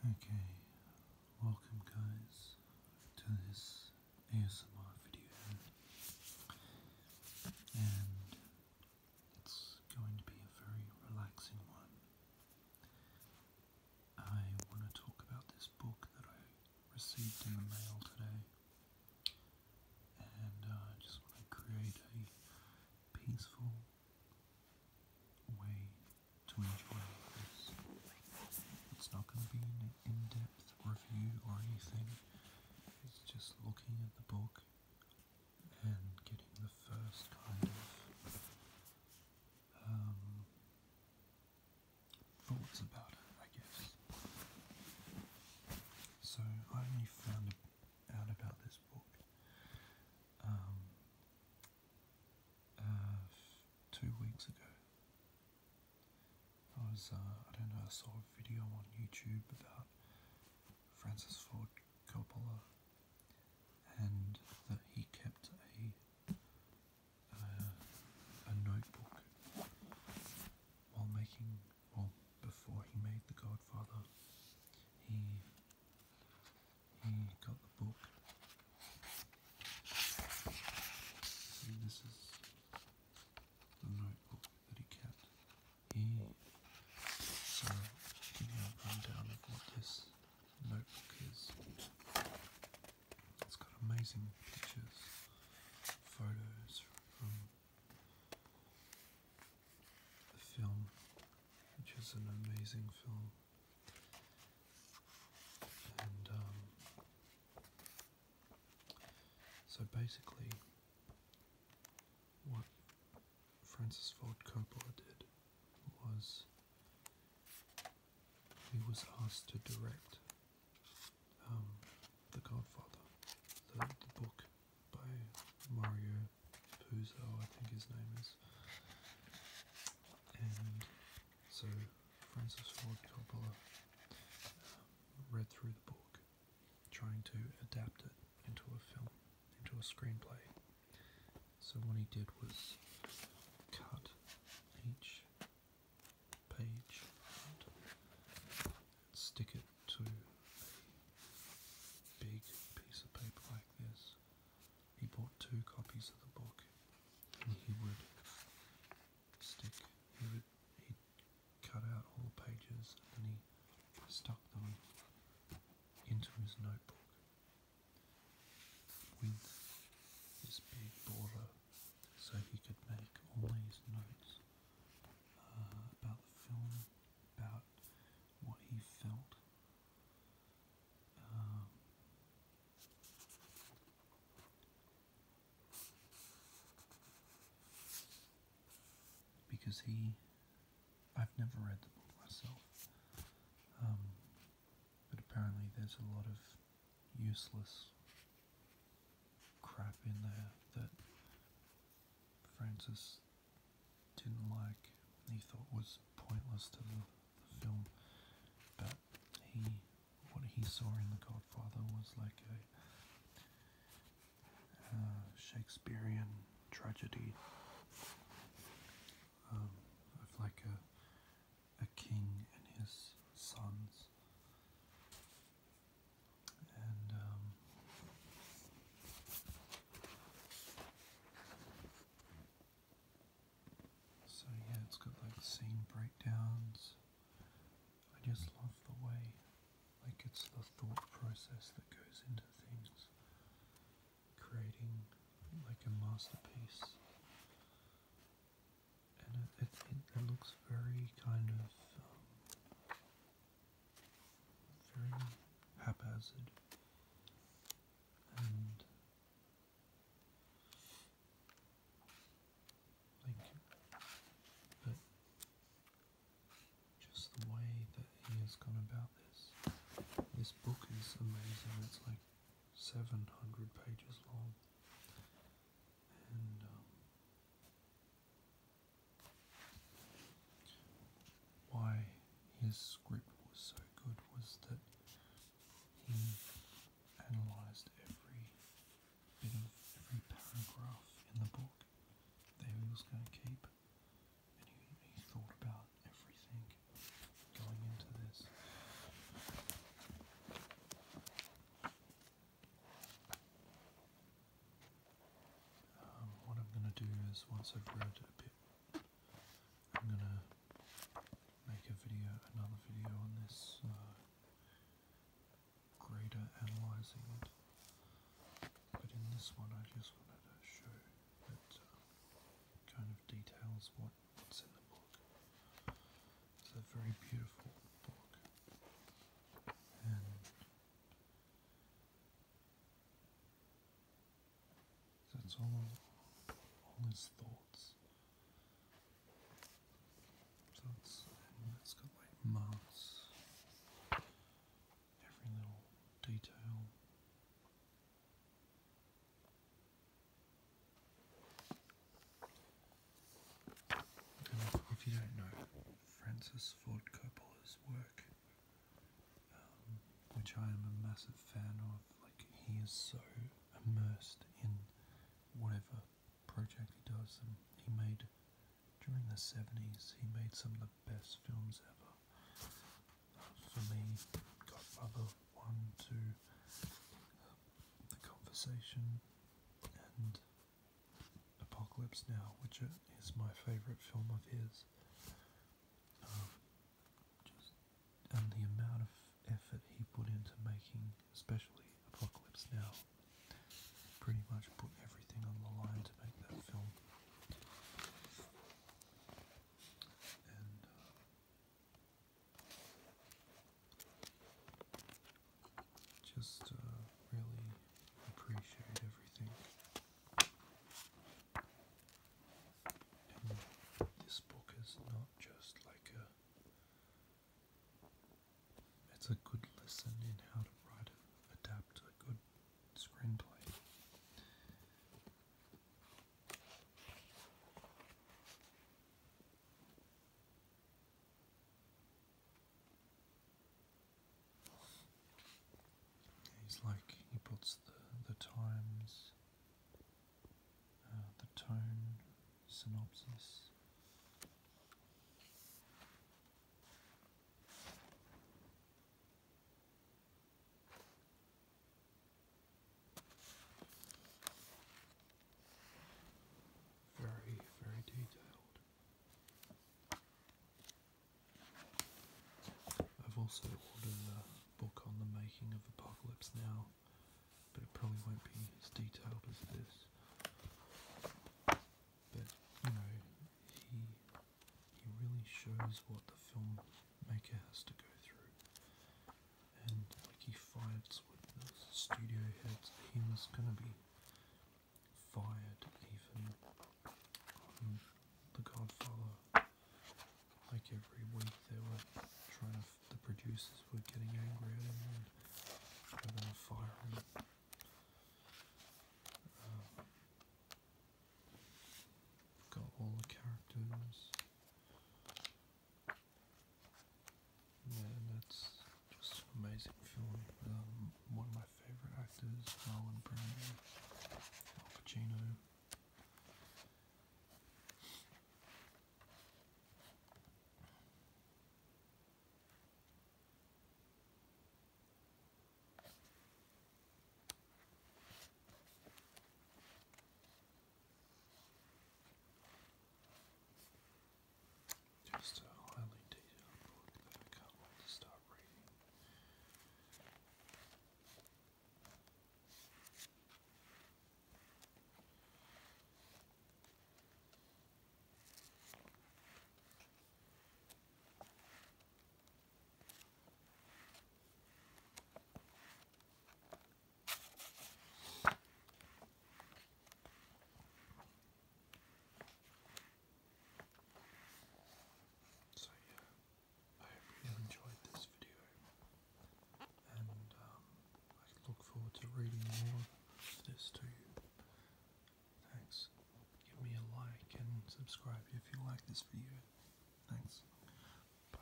Okay, welcome guys to this ASMR video and it's going to be a very relaxing one. I want to talk about this book that I received in the mail today and uh, I just want to create a peaceful way to enjoy this. It's not going to be an in-depth review or anything. It's just looking at the book and getting the first kind of um, thoughts about it, I guess. So I only found out about this book um, uh, two weeks ago. I was, uh, I don't know, I saw a video on YouTube about Francis Ford Coppola and that he kept a, uh, a notebook while making, well, before he made The Godfather, he he mm, got the book. this is the notebook that he kept here. So, give you a rundown of what this notebook is. It's got amazing pictures, photos from the film which is an amazing film. And um, so basically, what Francis Ford Coppola did was he was asked to direct um, The Godfather, the book by Mario Puzo, I think his name is. And so Francis Ford Coppola um, read through the book, trying to adapt it into a film, into a screenplay. So what he did was cut each page and stick it to a big piece of paper like this, he bought two copies of the book, and he mm-hmm. would stick, he would, he cut out all the pages, and he stuck them into his notebook with this big border so he could make all these notes uh, about the film about what he felt. Um, because he, I've never read the book myself, um, but apparently there's a lot of useless crap in there that Francis didn't like, he thought was pointless to the, film, but he, what he saw in The Godfather was like a uh, Shakespearean tragedy um, of like a, a king and his sons um, so yeah, it's got like scene breakdowns. I just love the way, like it's the thought process that goes into things, creating like a masterpiece, and it it, looks very kind of um, very haphazard and like but just the way that he has gone about this. This book is amazing. It's like 700 pages long. Um, why his script was so good was that he analysed every bit of every paragraph in the book There he was going to keep, and he thought about everything going into this. Um, what I'm going to do is once I've ground a bit, I'm going to make a video, another video on this uh, greater analysing it. But in this one I just wanted to show that uh, kind of details what's in the book. It's a very beautiful book that's all, all his thoughts. So it's got like marks, every little detail if you don't know Francis Ford Coppola's work, um, which I am a massive fan of, like he is so immersed in whatever project he does, and he made during the 70s, he made some of the best films ever. Uh, for me, Godfather 1, 2, uh, The Conversation, and Apocalypse Now, which is my favorite film of his. Um, and the amount of effort he put into making, especially Apocalypse Now, pretty much put everything on the line to make that film. Uh, just uh, really appreciate everything. this book is not just like a it's a good lesson in how to write and adapt a good screenplay. He's like he puts the the times, uh, the tone, synopsis. Very, very detailed. I've also ordered a book on the making of Apocalypse Now, but it probably won't be as detailed as this. But you know, he he really shows what the filmmaker has to go through and like he fights with the studio heads, he was gonna be fired even um, The Godfather. Like every week they were trying to, the producers were getting angry at him and they were gonna fire him. Um, got all the characters. Yeah, that's just amazing film. Um, one of my favorite actors, Marlon Brando, Pacino. Just a highly detailed book that I can't wait to start reading. So yeah, I hope you enjoyed this video, and um, I look forward to reading more of this too. Thanks. Give me a like and subscribe if you like this video. Thanks. Bye.